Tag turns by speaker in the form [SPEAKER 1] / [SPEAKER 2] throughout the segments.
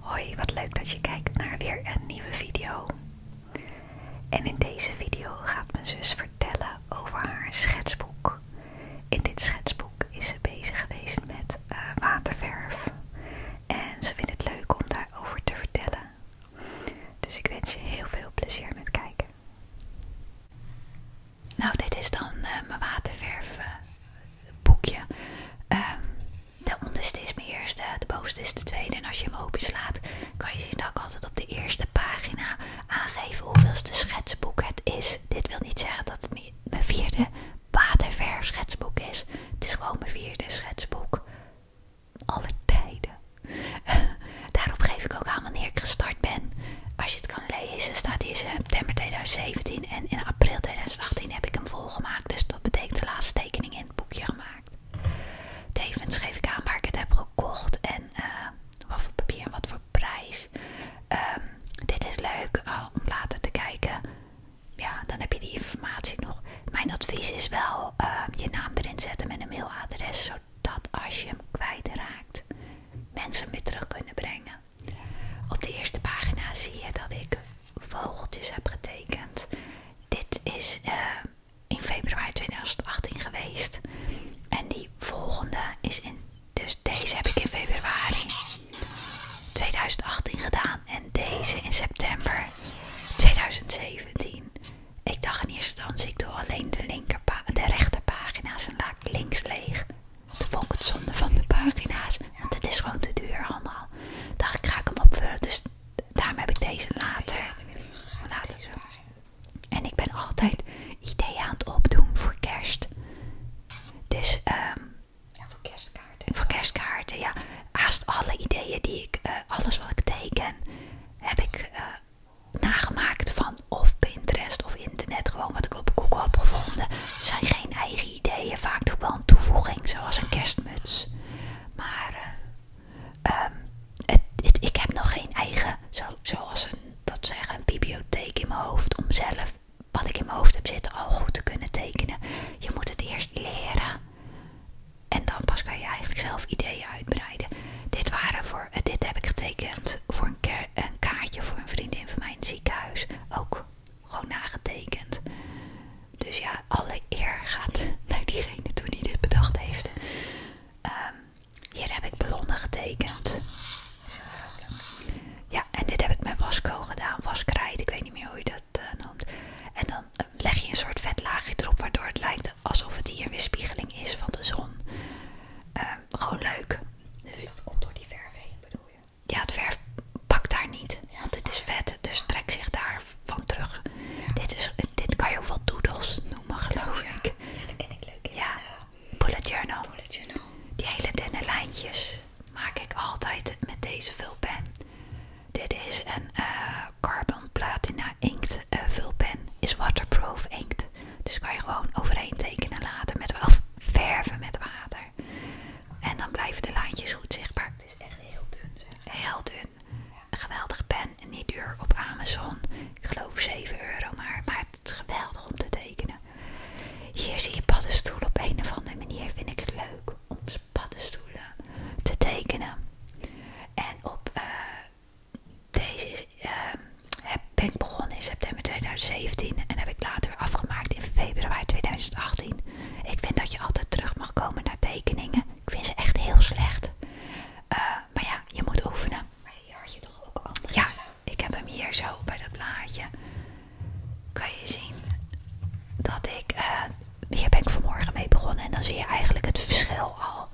[SPEAKER 1] Hoi, wat leuk dat je kijkt naar weer een nieuwe video. En in deze video gaat mijn zus vertellen over haar schetsboek. In dit schetsboek is ze bezig geweest met eh, waterverf. En ze vindt het leuk om daarover te vertellen. Dus ik wens je heel veel plezier met kijken. Nou, dit is dan eh, mijn waterverfboekje. boekje. Ehm, de onderste is mijn eerste, eh, de bovenste is de tweede. En als je hem openslaat, kan je zien dat ik altijd op de eerste pagina aangeef hoeveelste schetsboek het is. Dit wil niet zeggen dat het mijn vierde waterverf schetsboek is. Het is gewoon mijn vierde schetsboek. Alle tijden. Daarop geef ik ook aan wanneer ik gestart ben. Als je het kan lezen, staat hier september 2017 en in april 2018 heb ik hem vol gemaakt. dus dat betekent de laatste tekening in het boekje gemaakt. Tevens schreef ik aan waar ik het heb gekocht en eh, wat voor papier en wat voor prijs. Ehm, dit is leuk eh, om later te kijken. Ja, dan heb je die informatie nog. Mijn advies is wel eh, je naam erin zetten met een mailadres, zodat als je hem kwijtraakt, mensen hem weer terug kunnen brengen. Op de eerste pagina zie je dat ik vogeltjes heb getekend. Dit is eh, in februari 2018 geweest. En die volgende is in. Dus deze heb ik in februari 2018 gedaan. En deze in september 2017. Ik dacht in eerste instantie, ik doe alleen de, linker de rechterpagina's en laat links leeg. Toen vond het zonde van de pagina's, want het is gewoon te duur allemaal. Dacht ik, ga ik hem opvullen, dus daarom heb ik deze later. En ik ben altijd ideeën aan het opdoen voor kerst. Dus, ehm ja, voor kerstkaarten. Voor kerstkaarten, ja. Haast alle ideeën die ik, eh, alles wat ik teken, heb ik eh, nagemaakt van of Pinterest of internet. Gewoon wat ik op Google heb gevonden. zijn geen eigen ideeën vaak toch wel een toevoeging, zoals een kerstmuts. Maar eh, ehm, ik heb nog geen eigen, zoals een, dat zeggen, bibliotheek in mijn hoofd om zelf wat ik in mijn hoofd heb zitten al goed te kunnen tekenen. Je moet het eerst leren en dan pas kan je eigenlijk zelf ideeën uitbreiden. Dit, waren voor, eh, dit heb ik getekend voor een, een kaartje voor een vriendin van mijn ziekenhuis. Ook gewoon nagetekend. Dus ja, alle eer gaat naar diegene toen hij dit bedacht heeft. Ehm, hier heb ik ballonnen getekend. Ja, en dit heb ik met wasco gedaan. Waskrijt, ik weet niet meer hoe je dat eh, noemt. En dan ehm, leg je een soort vetlaagje erop, waardoor het lijkt alsof het hier weer spiegeling is van de zon. Ehm, gewoon leuk. Dus dat komt door die verf heen, bedoel je? ja, het verf pakt daar niet. Want het is vet, dus trek zich daar van terug. Dit, is, dit kan je ook wel doodles noemen, geloof ik. Ja, dat ken ik leuk. In ja, eh, bullet, journal. Die hele dunne lijntjes maak ik altijd met deze vulpen. Dit is een eh, Carbon Platina inkt eh, vulpen. Is waterproof inkt. Dus kan je gewoon overheen tekenen later met wel verven met water. En dan blijven de laantjes goed zichtbaar. Het is echt heel dun Heel dun. geweldig pen. En niet duur op Amazon. Ik geloof 7 euro maar. Maar het is geweldig om te tekenen. Hier zie je paddenstoelen. Op een of andere manier vind ik het leuk om paddenstoelen te tekenen. En op eh, deze ehm, heb, ben ik begonnen in september 2017 en heb ik later afgemaakt in februari 2018. Ik vind dat je altijd terug mag komen naar tekeningen. Ik vind ze echt heel slecht. Eh, maar ja, je moet oefenen. Maar hier had je toch ook anders Ja, ik heb hem hier zo bij dat blaadje. Kan je zien dat ik... Eh, hier ben ik vanmorgen mee begonnen en dan zie je eigenlijk het verschil al.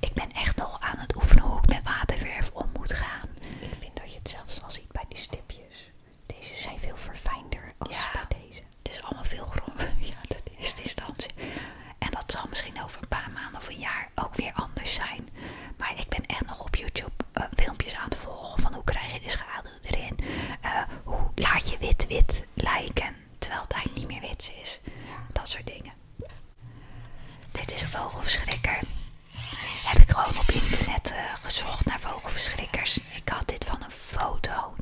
[SPEAKER 1] Ik ben echt nog aan het oefenen hoe ik met waterverf om moet gaan. Ik vind dat je het zelfs al ziet bij die stipjes. Deze zijn veel verfijnder als deze. Het is allemaal veel groter, ja, dat is eerste instantie. En dat zal misschien over een paar maanden of een jaar ook weer anders zijn. Maar ik ben echt nog op YouTube eh, filmpjes aan het volgen van hoe krijg je de schaduw erin. Eh, hoe laat je wit wit lijken terwijl het eigenlijk niet meer wit is. Dat soort dingen. Dit is een vogelverschrikker. Heb ik gewoon op internet eh, gezocht naar vogelverschrikkers. Ik had dit van een foto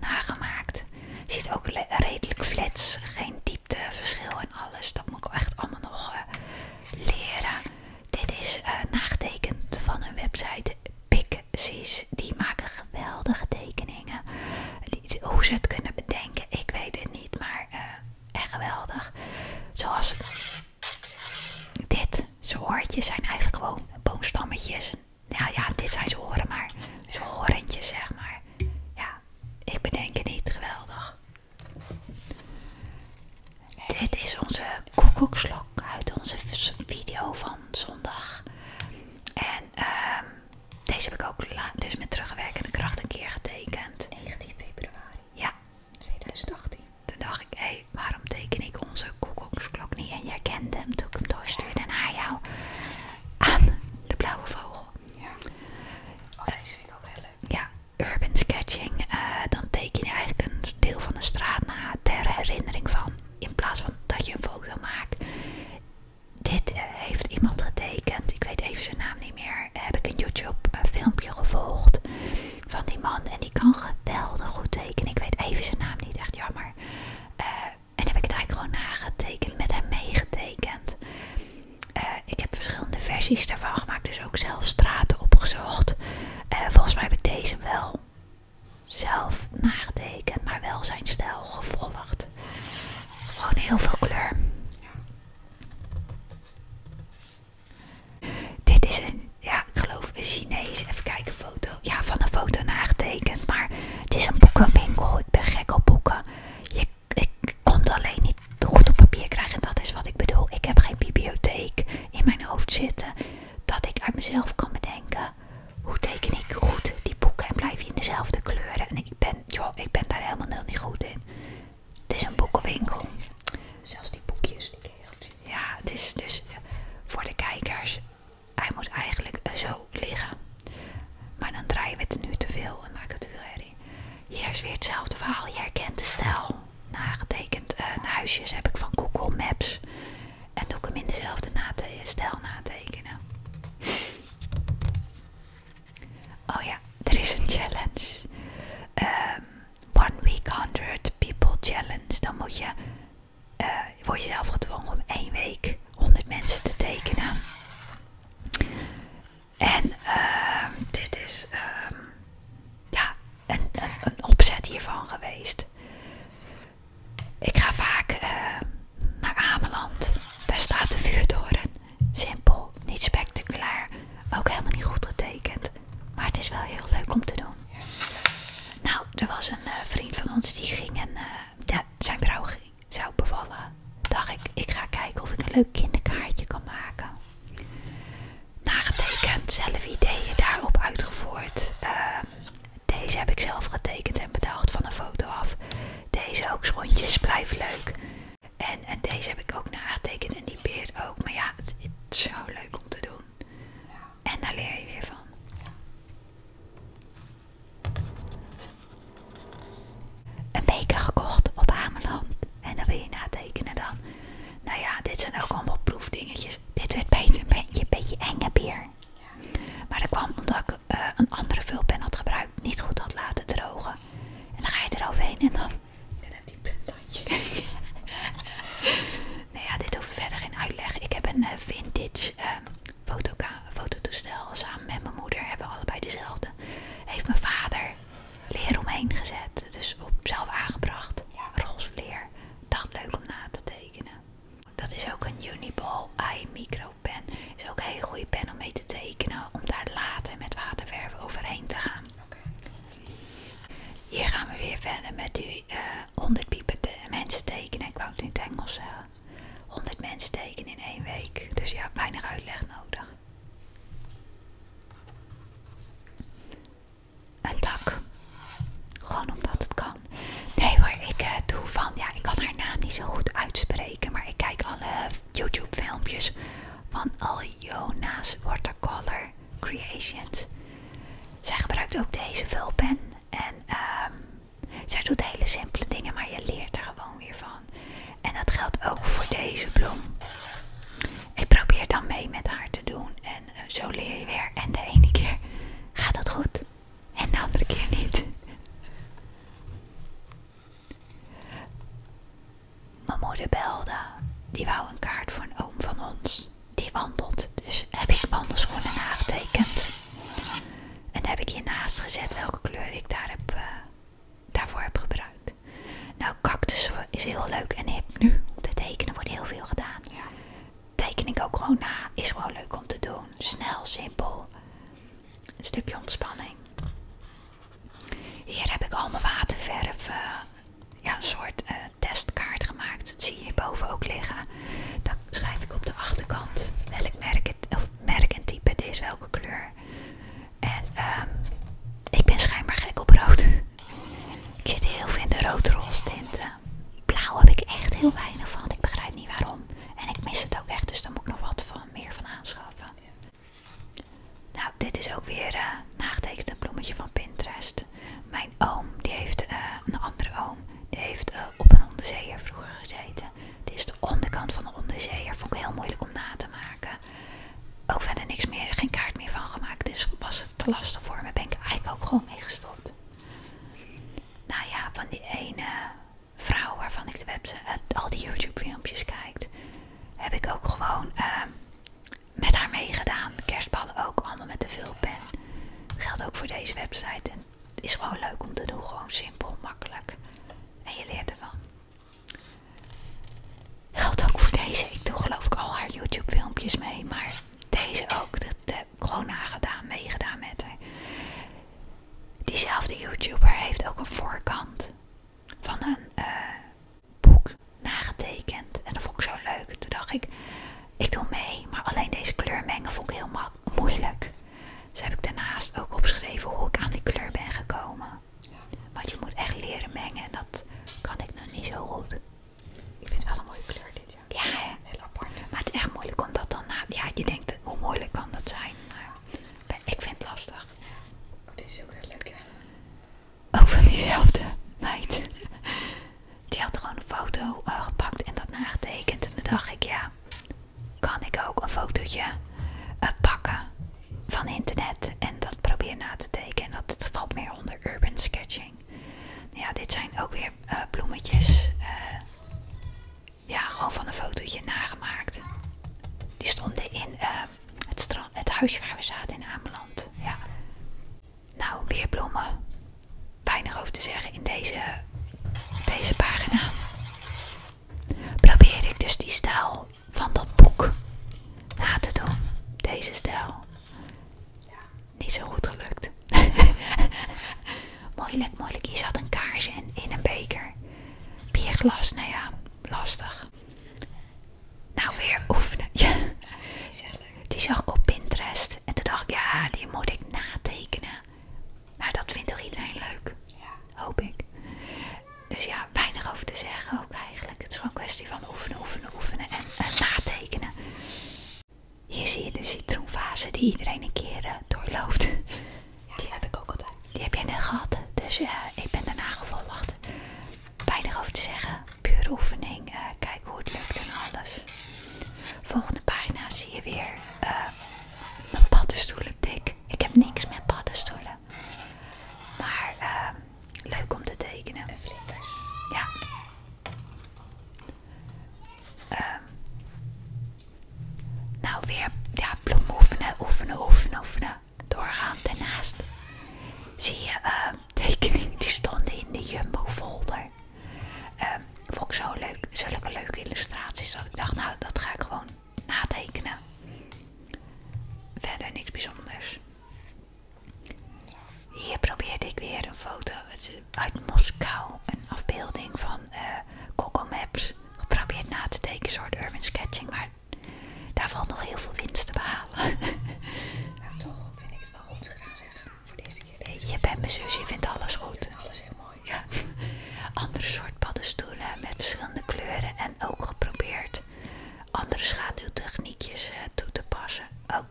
[SPEAKER 1] nagemaakt. Ziet ook redelijk flats, geen diepteverschil en alles. Dat moet ik echt allemaal nog eh, leren. Dit is eh, nagetekend van een website Pixies. Die maken geweldige tekeningen. hoe ze het kunnen bedenken, ik weet het niet, maar eh, echt geweldig. Zoals dit. Zijn hoortjes zijn eigenlijk gewoon boomstammetjes. Nou ja, dit zijn zijn horen, maar zijn horentjes zeg maar. Ja, ik bedenk het niet geweldig. Dit is onze koekoekslok uit onze video van zondag. En ehm, deze heb ik ook dus met terugwerkende kracht een keer getekend. 19 februari. Ja. 2018. Toen dacht ik, hé, waarom teken ik onze koekoeksklok niet? En jij kende hem toen ik hem doorstuurde naar jou. Aan de blauwe vogel. Ja. Oh, deze vind ik ook heel leuk. Ja, urban sketching. Eh, dan teken je eigenlijk een deel van de straat na ter herinnering van. In plaats van dat je een vogel maakt. Dit eh, heeft iemand getekend. Ik weet even zijn naam niet meer. Heb ik een YouTube eh, filmpje gevolgd van die man. En die kan geweldig goed ik weet even zijn naam niet, echt jammer. Eh, en heb ik het eigenlijk gewoon nagetekend, met hem meegetekend. Eh, ik heb verschillende versies daarvan gemaakt, dus ook zelf straten opgezocht. Eh, volgens mij heb ik deze wel zelf nagetekend, maar wel zijn stijl gevolgd. Gewoon heel veel kleur. Dit is een ja, ik geloof een Chinees. Even kijken, foto. Ja, van een foto nagetekend. Maar het is een boekenwinkel. Ik ben gek op boeken. Je, ik kon het alleen niet goed op papier krijgen. En dat is wat ik bedoel. Ik heb geen bibliotheek in mijn hoofd zitten. Dat ik uit mezelf kan bedenken. Hoe teken ik goed die boeken en blijf je in dezelfde kleuren? En ik ben, joh, ik ben daar helemaal niet goed in. Het is een boekenwinkel. Zelfs die boekjes, die ken je Ja, het is dus voor de kijkers hij moet eigenlijk eh, zo liggen. Maar dan draaien we het nu te veel en maak het te veel erin. Hier is weer hetzelfde verhaal. Je herkent de stijl. Nagetekend eh, huisjes heb ik van Google Maps. En doe ik hem in dezelfde stijl natekenen. oh ja, er is een challenge. Ehm, one week 100 people challenge. Dan moet je eh, word jezelf gedwongen om één week 100 mensen te tekenen. En ehm, dit is ehm, ja, een, opzet hiervan geweest. Ik ga vaak ehm, naar Ameland. Daar staat de vuurtoren. Simpel, niet spectaculair, ook helemaal niet goed getekend. Maar het is wel heel leuk om te doen. Nou, er was een eh, vriend van ons die ging en eh, zijn vrouw zou bevallen. Dacht ik, ik ga kijken of ik een leuk kinderkaartje kan maken. Nagetekend, zelf ideeën daarop uitgevoerd. Ehm, deze heb ik zelf getekend en bedacht van een foto af. Deze ook, schoentjes, blijft leuk. En, deze heb ik ook nagetekend en die beer ook. Maar ja, het is zo leuk om te doen. En daar leer je weer van. Een beker gekocht op Ameland. En dan wil je na tekenen dan. Nou ja, dit zijn ook allemaal proefdingetjes. Dit werd beter een beetje, een beetje enge beer. Maar dat kwam omdat ik eh, een andere vulpen had gebruikt. Niet goed had laten drogen. En dan ga je eroverheen en dan... Dan heb je die puntandje. Nou ja, dit hoef verder geen uitleg. Ik heb een eh, vintage um, fototoestel samen met mijn moeder. Hebben allebei dezelfde. Heeft mijn vader leer omheen gezet. Dus op zelf aangebracht. Ja. Roze leer. Dacht leuk om na te tekenen. Dat is ook een Uniball eye micro pen. Is ook een hele goede pen om mee te tekenen. Om daar later met waterverf overheen te gaan. Oké. Hier gaan we weer verder met die eh, 100 piepen mensen tekenen. Ik wou het in het Engels zeggen. 100 mensen tekenen in één week. Dus ja, weinig uitleg nodig. Een dak. Gewoon omdat het kan. Nee maar ik eh, doe van... Ja, ik kan haar naam niet zo goed uitspreken. Maar ik kijk alle YouTube filmpjes van Al Jona's Watercolor Creations. Zij gebruikt ook deze vulpen. En ehm, zij doet hele simpele dingen, maar je leert er gewoon weer van. En dat geldt ook voor deze bloem. Ik probeer dan mee met haar te doen. En eh, zo leer je weer. En de ene keer gaat het goed. En de andere keer niet. Mijn moeder belde. Die wou een kaart voor een oom van ons die wandelt. Dus heb ik wandelschoenen aangetekend. En heb ik hiernaast gezet welke kleur ik eh, daarvoor heb gebruikt. Nou, cactus is heel leuk en nu. om te tekenen wordt heel veel gedaan. Ja. Teken ik ook gewoon na. Is gewoon leuk om te doen. Snel, simpel. Een stukje ontspanning. Hier heb ik al mijn waterverf. Eh, een soort eh, testkaart gemaakt. Dat zie je hierboven ook liggen. Dan schrijf ik op de achterkant welk merk, het, of merk en type het is, welke kleur. En ehm, ik ben schijnbaar gek op rood. ik zit heel veel in de rood-roze tinten. Blauw heb ik echt heel weinig van. Ik begrijp niet waarom. En ik mis het ook echt, dus dan moet ik nog wat van, meer van aanschaffen. Nou, dit is ook weer uh, nagetekend een bloemetje van Pinterest mijn oom, die heeft eh, een andere oom, die heeft eh, op een onderzeeër vroeger gezeten. Dit is de onderkant van de onderzeeër. Vond ik heel moeilijk om na te maken. Ook verder niks meer, geen kaart meer van gemaakt. Dus was te lastig voor me. Ben ik eigenlijk ook gewoon mee gestopt. Nou ja, van die ene vrouw waarvan ik de eh, al die YouTube filmpjes kijkt, heb ik ook gewoon ehm, met haar meegedaan. Kerstballen ook, allemaal met de vulpen. Geldt ook voor deze website. En het is gewoon leuk om te doen. Gewoon simpel, makkelijk. En je leert ervan. Geldt ook voor deze. Ik doe geloof ik al haar YouTube filmpjes mee. Maar deze ook. Dat heb ik gewoon nagedaan. Meegedaan met haar. Diezelfde YouTuber heeft ook een voorkant van een eh, boek nagetekend. En dat vond ik zo leuk. Toen dacht ik, ik doe mee, maar alleen deze kleur mengen vond ik heel moeilijk. Dus heb ik daarnaast ook opgeschreven hoe ik aan die kleur ben gekomen. Want je moet echt leren mengen en dat kan ik nog niet zo goed. Ik vind het wel een mooie kleur dit, ja. Ja, Heel apart. Maar het is echt moeilijk om dat dan na... Ja, je denkt, hoe moeilijk kan dat zijn? ik vind het lastig. Oh, dit is ook weer leuk, hè? Ook van diezelfde meid. Die had gewoon een foto eh, gepakt en dat nagetekend. En toen dacht ik, ja, kan ik ook een fotootje eh, pakken van internet en dat probeer na te tekenen. dat valt meer onder urban sketching. Ja, dit zijn ook weer eh, bloemetjes. ja, gewoon van een fotootje nagemaakt. Die stonden in het, het huisje waar we zaten in Ameland. Ja. Nou, weer bloemen. Weinig over te zeggen in deze, deze pagina. Probeer ik dus die stijl van dat boek na te doen. Deze stijl. Niet zo goed gelukt. moeilijk, moeilijk. Je zat een kaarsje in, een beker. Bierglas, nou ja, lastig. Nou, weer oefenen. Ja. Die zag ik op Pinterest. En toen dacht ik, ja, die moet ik natekenen. Maar nou, dat vindt toch iedereen leuk? Ja. Hoop ik. Dus ja, weinig over te zeggen ook eigenlijk. Het is gewoon een kwestie van oefenen, oefenen, oefenen en, natekenen. Hier zie je de citroenfase die iedereen een keer eh, doorloopt. die heb ik ook altijd. Die heb jij net gehad. Dus ik ben daarna gevolgd. Weinig over te zeggen. Pure oefening. Eh, kijk kijken hoe het lukt en alles. Volgende pagina zie je weer eh, mijn paddenstoelen tik. Ik heb niks met paddenstoelen. Maar ehm, leuk om te tekenen. En vlinders. Ja. Ehm, nou weer ja, bloem oefenen, oefenen, oefenen, oefenen. Doorgaan. Daarnaast zie je ehm, tekeningen die stonden in de Jumbo folder maar ehm, vond ik zo leuk, zulke leuke illustraties dat ik dacht, nou dat ga ik gewoon natekenen. Verder niks bijzonders. Hier probeerde ik weer een foto uit Moskou, een afbeelding van eh, Google Maps. Geprobeerd na te tekenen, soort urban sketching, maar daar valt nog heel veel winst te behalen. Nou toch vind ik het wel goed gedaan zeg. Voor je bent mijn zus, je vindt alles goed. Alles heel mooi. Andere soort paddenstoelen met verschillende kleuren en ook geprobeerd andere schaduwtechniekjes eh, toe te passen. Ook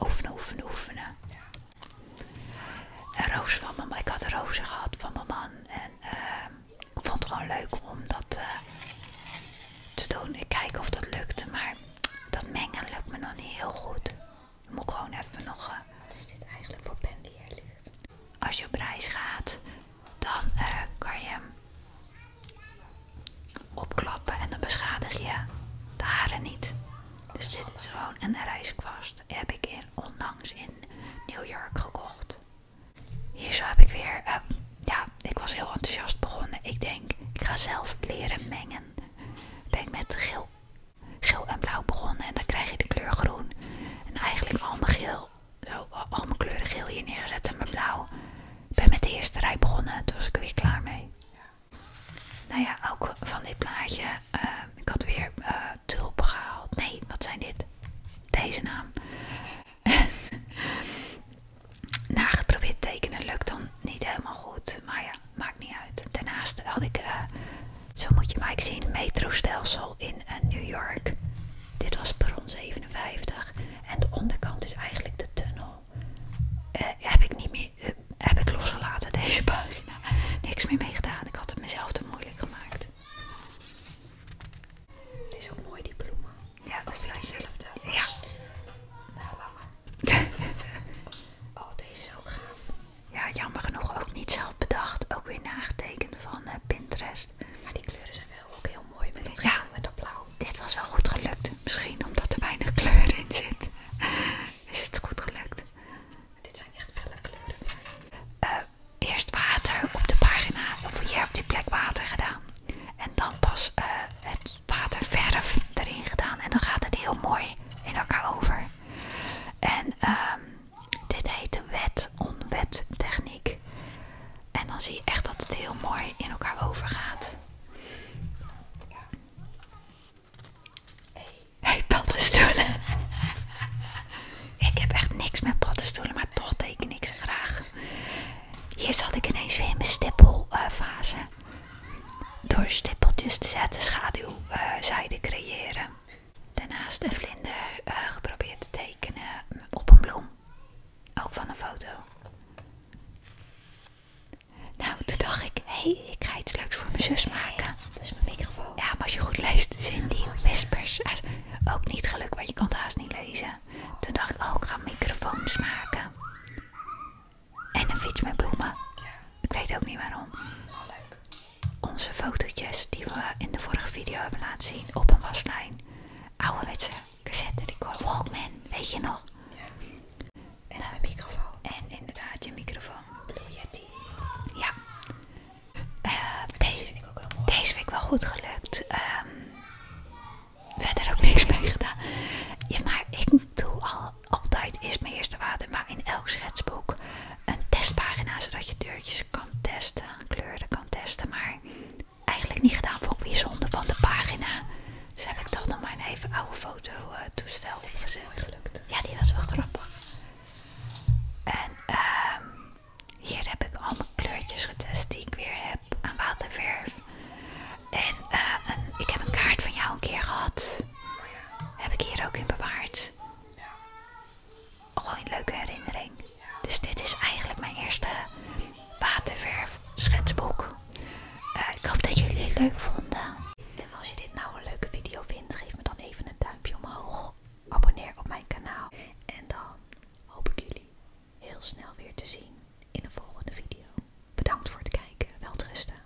[SPEAKER 1] oefenen, oefenen, oefenen. Een roze van mama. Ik had rozen gehad van mijn man. En ehm, ik vond het gewoon leuk om dat eh, te doen. Ik kijk of dat lukte, maar dat mengen lukt me nog niet heel goed moet gewoon even nog... Eh, Wat is dit eigenlijk voor pen die er ligt? Als je op reis gaat, dan eh, kan je hem opklappen en dan beschadig je de haren niet. Dus dit is gewoon een reiskwast. Die heb ik in, onlangs in New York gekocht. Hier zo heb ik weer... Ehm, ja, ik was heel enthousiast begonnen. Ik denk, ik ga zelf leren mengen. Ben ik met geel geel en blauw begonnen en dan krijg je de kleur groen. En eigenlijk al mijn geel, zo, al mijn kleuren geel hier neergezet en mijn blauw. Ik ben met de eerste rij begonnen, toen was ik er weer klaar mee. Nou ja, ook van dit plaatje, ehm, ik had weer eh, tulpen gehaald. Nee, wat zijn dit? Deze naam. Nageprobeerd geprobeerd tekenen lukt dan niet helemaal goed, maar ja, maakt niet uit. Daarnaast had ik, eh, zo moet je maar ik zien, metrostelsel in eh, New York. Dit was perron 57 en de onderkant is eigenlijk de tunnel. Eh, heb ik niet meer, heb ik losgelaten deze pagina. Niks meer meegedaan. ik had het mezelf te moeilijk gemaakt. Het is ook mooi die bloemen. Ja, dat is dezelfde. Ja. Nou, langer. oh, deze is ook gaaf. Ja, jammer genoeg ook niet zelf bedacht. Ook weer nagetekend van eh, Pinterest. Maar die kleuren zijn wel ook heel mooi met dat ja, blauw. Dit was wel goed gelukt. Misschien omdat er weinig kleur in zit. Is het goed gelukt? Dit zijn echt felle kleuren. Eh, eerst water op de pagina. Of hier op die plek water gedaan. En dan pas eh, het waterverf erin gedaan. En dan gaat het heel mooi in elkaar over. En ehm, dit heet de wet-onwet techniek. En dan zie je echt dat het heel mooi in elkaar overgaat. Hé, Hey, ik heb echt niks met pattenstoelen, maar toch teken ik ze graag. Hier zat ik ineens weer in mijn stippelfase door stippeltjes te zetten schaduwzijde creëren. Daarnaast een vlinder eh, geprobeerd te tekenen op een bloem. Ook van een foto. Nou, toen dacht ik, hé, hey, ik ga iets leuks voor mijn zus maken. Dus mijn microfoon. Ja, maar als je goed leest, zijn die whispers ook niet gelukkig, want je kan het haast niet lezen. Toen dacht ik, oh, ik ga microfoons maken. En een fiets met bloemen. Ik weet ook niet waarom. Oh, leuk. Onze fotootjes die we in de vorige video hebben laten zien op een waslijn. Ouderwetse cassette record. Walkman, weet je nog? Ja. En een microfoon. En inderdaad, je microfoon. Blue Yeti. Ja. Eh, deze vind ik ook wel Deze vind ik wel goed gelukt. hebben ehm, verder ook niks mee gedaan. Ja, maar ik doe al altijd is mijn eerste water, maar in elk schetsboek een testpagina zodat je deurtjes kan testen, kleuren kan testen. Maar eigenlijk niet gedaan, voor wie weer zonde van de pagina. Dus heb ik toch nog maar een even oude foto eh, toestel Ja, die was wel grappig. En ehm, hier heb ik al mijn kleurtjes getest die ik weer heb aan waterverf. En eh, ik heb een kaart van jou een keer gehad. Heb ik hier ook in bewaard. Ja. Gewoon oh, een leuke herinnering. Dus dit is eigenlijk mijn eerste waterverf schetsboek. Eh, ik hoop dat jullie het leuk vonden. En als je dit nou een leuke video vindt, geef me dan even een duimpje omhoog. Abonneer op mijn kanaal. En dan hoop ik jullie heel snel weer te zien in de volgende video. Bedankt voor het kijken. Welterusten.